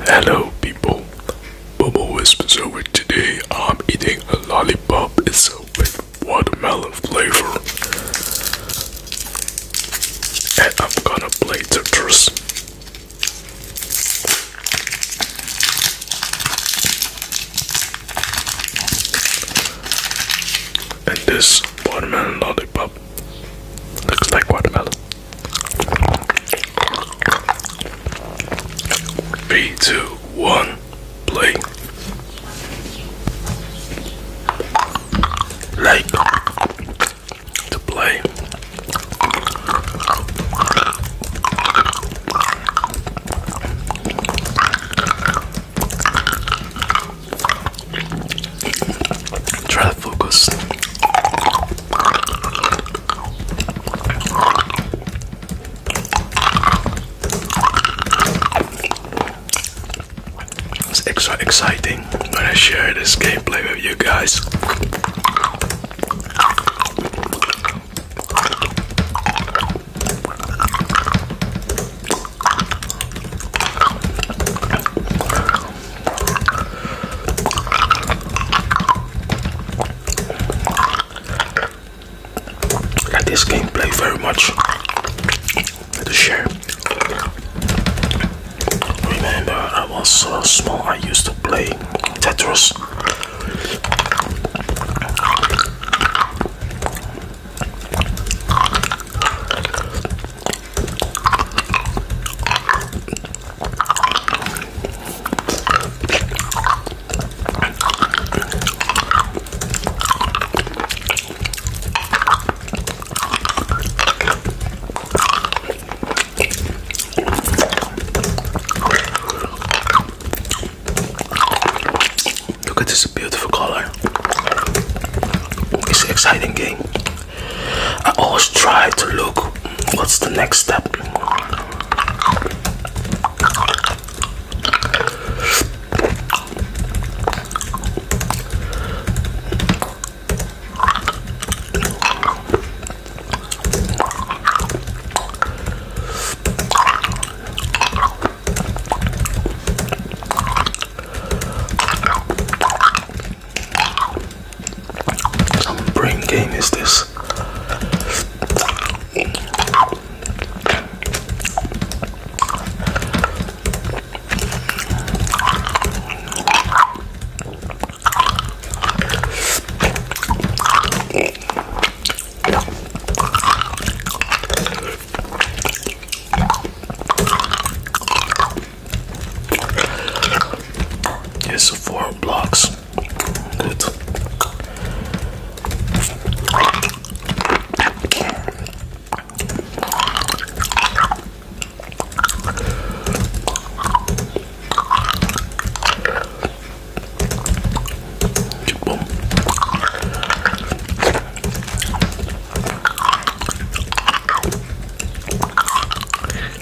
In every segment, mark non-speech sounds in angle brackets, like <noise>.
Hello people, Bubble Whispers over today. I'm eating a lollipop. It's with watermelon flavor. And I'm gonna play Tetris. And this watermelon lollipop looks like watermelon. Three, two, one, play. Like to play. Try to focus. It's extra exciting when I share this gameplay with you guys. Like this gameplay very much. To share. Remember, I was so small. I used to play Tetris. Look at this beautiful color. It's an exciting game. I always try to look what's the next step. Some brain game is this? It's four blocks. Good.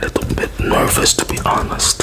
Little bit nervous to be honest.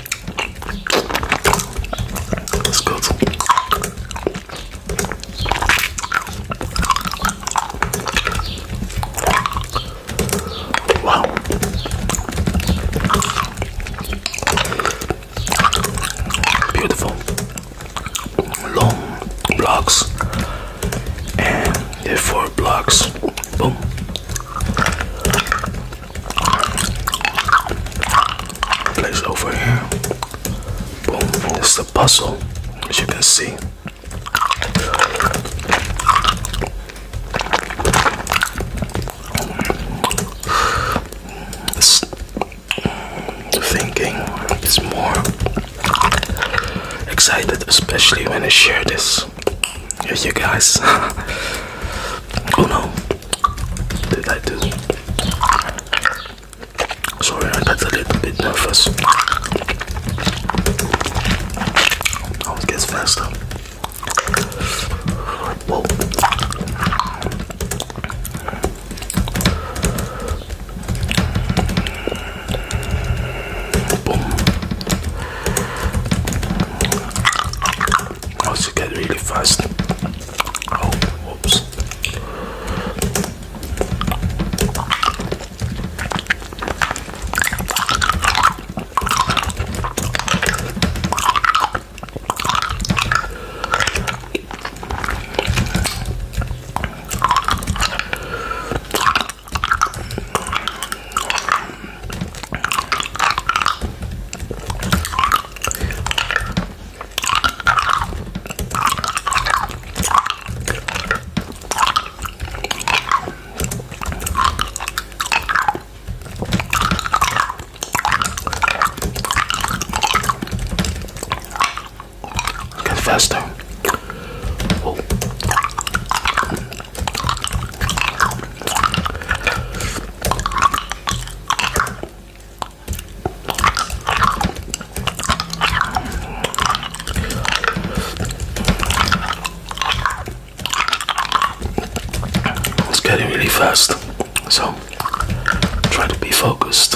That's good. Wow. Beautiful. Long blocks. And four blocks. Boom. Place over here. Boom. This is a puzzle, as you can see. It's thinking is more excited, especially when I share this Yes, you guys. <laughs> oh no. Did I do? Sorry, I got a little bit nervous. Always gets faster. Whoa. Boom. Also get really fast. Oh, whoops. Get faster. Oh. It's getting really fast, so try to be focused.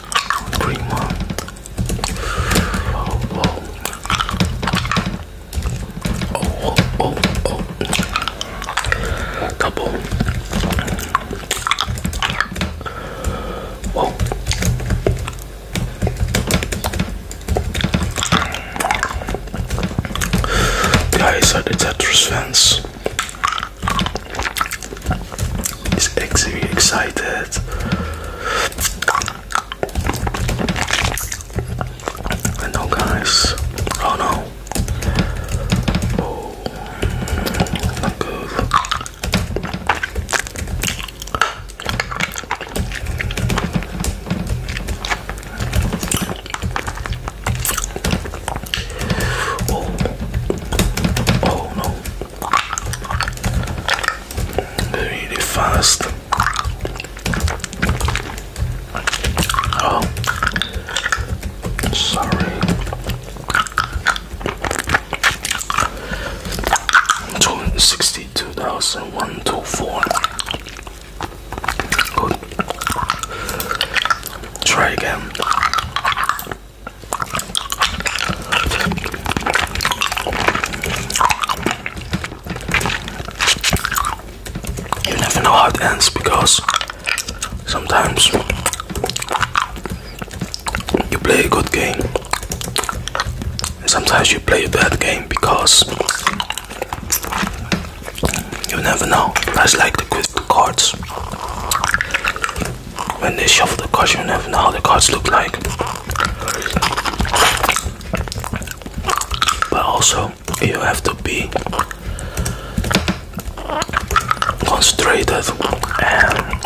green one. Oh, oh, oh, oh, oh. Double. Whoa. Guys, are the Tetris fans? He's extremely excited. I know, guys. Oh no. Oh, not good. Oh, oh no really fast. Oh, sorry. Two hundred sixty-two thousand one two four. Good. Try again. You never know how it ends because sometimes you play a good game sometimes you play a bad game because you never know. That's like the quick cards when they shuffle the cards, you never know how the cards look like. But also, you have to be concentrated and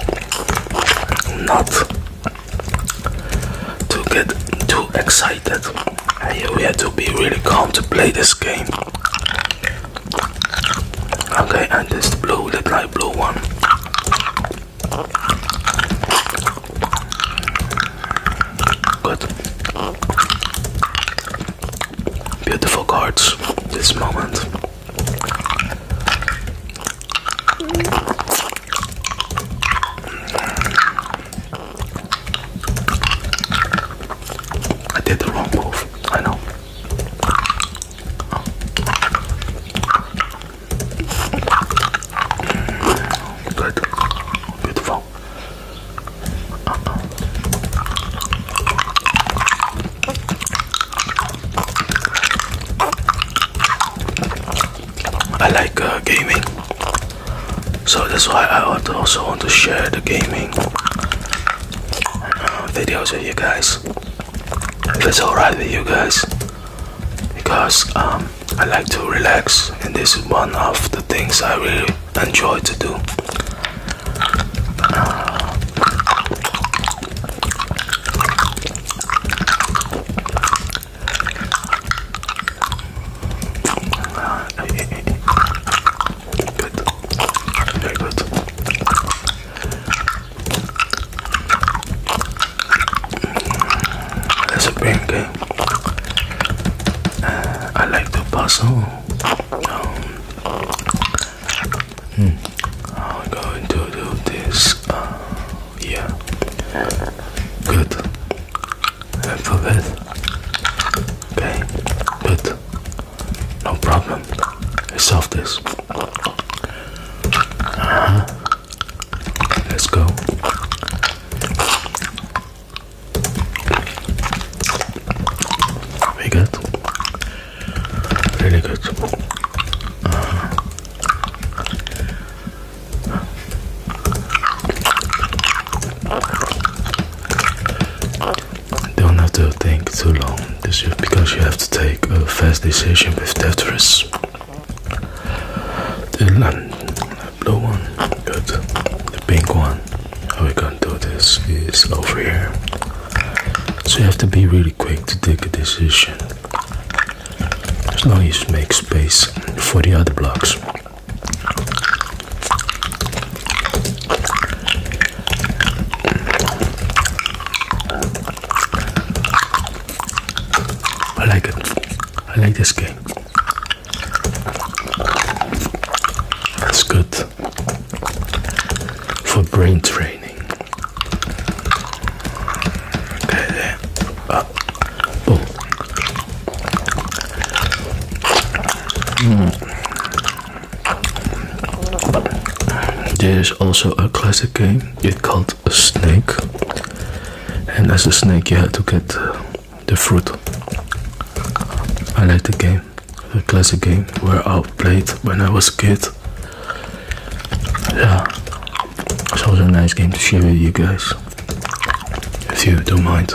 not to get too excited. And you have to be really calm to play this game. Okay, and this blue, the light blue one. Good. Beautiful cards. This moment. I did the wrong move. I know. I like uh, gaming, so that's why I also want to share the gaming uh, videos with you guys if it's alright with you guys because um, I like to relax and this is one of the things I really enjoy to do uh, Good. Very good. That's a very good. Uh, I like the puzzle. Um, hmm. I'm going to do this. Uh, yeah. Good. Alphabet. Okay. Good. No problem. I solved this. Uh-huh. Let's go. Very good. Really good. Uh-huh. Don't have to think too long because you have to take a fast decision with Tetris. The blue one, good. The pink one, how we gonna do this is over here. So you have to be really quick to take a decision. As long as you make space for the other blocks. I like it. I like this game. That's good for brain training. Okay. Uh, boom. Mm. There is also a classic game, it's called snake. And as a snake, you have to get uh, the fruit. I like the game, a classic game where I played when I was a kid. Yeah, it's also a nice game to share with you guys if you don't mind.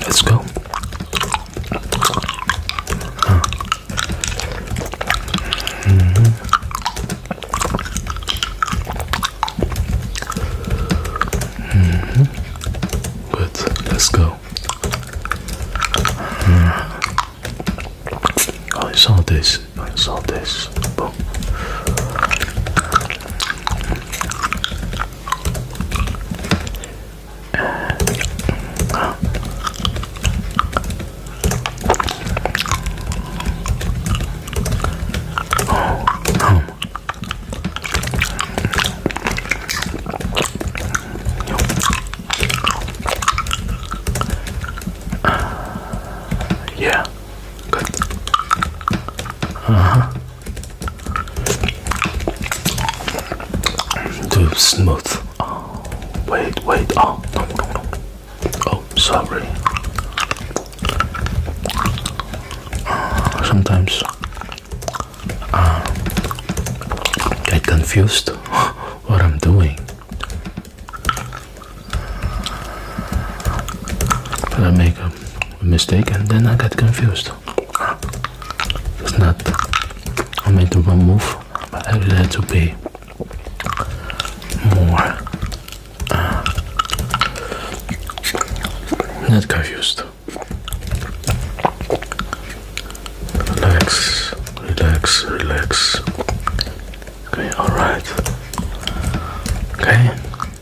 Let's go. -hmm. -hmm. Good, let's go. Hmm. Oh, I saw this, I saw this. Uh, yeah, good. Uh huh. Too smooth. Oh, wait, wait. Oh, no, no, no. Oh, sorry. Uh, sometimes I uh, get confused <gasps> what I'm doing. But I make Mistaken. then I got confused. It's not, I made the wrong move, but I had to pay more ah. not confused. Relax, relax, relax. Okay, alright. Okay,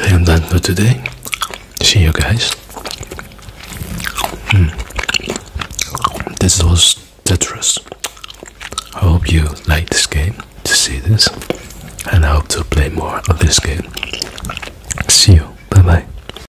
I am done for today. See you guys. Hmm. This was Tetris. I hope you like this game to see this, and I hope to play more of this game. See you. Bye bye.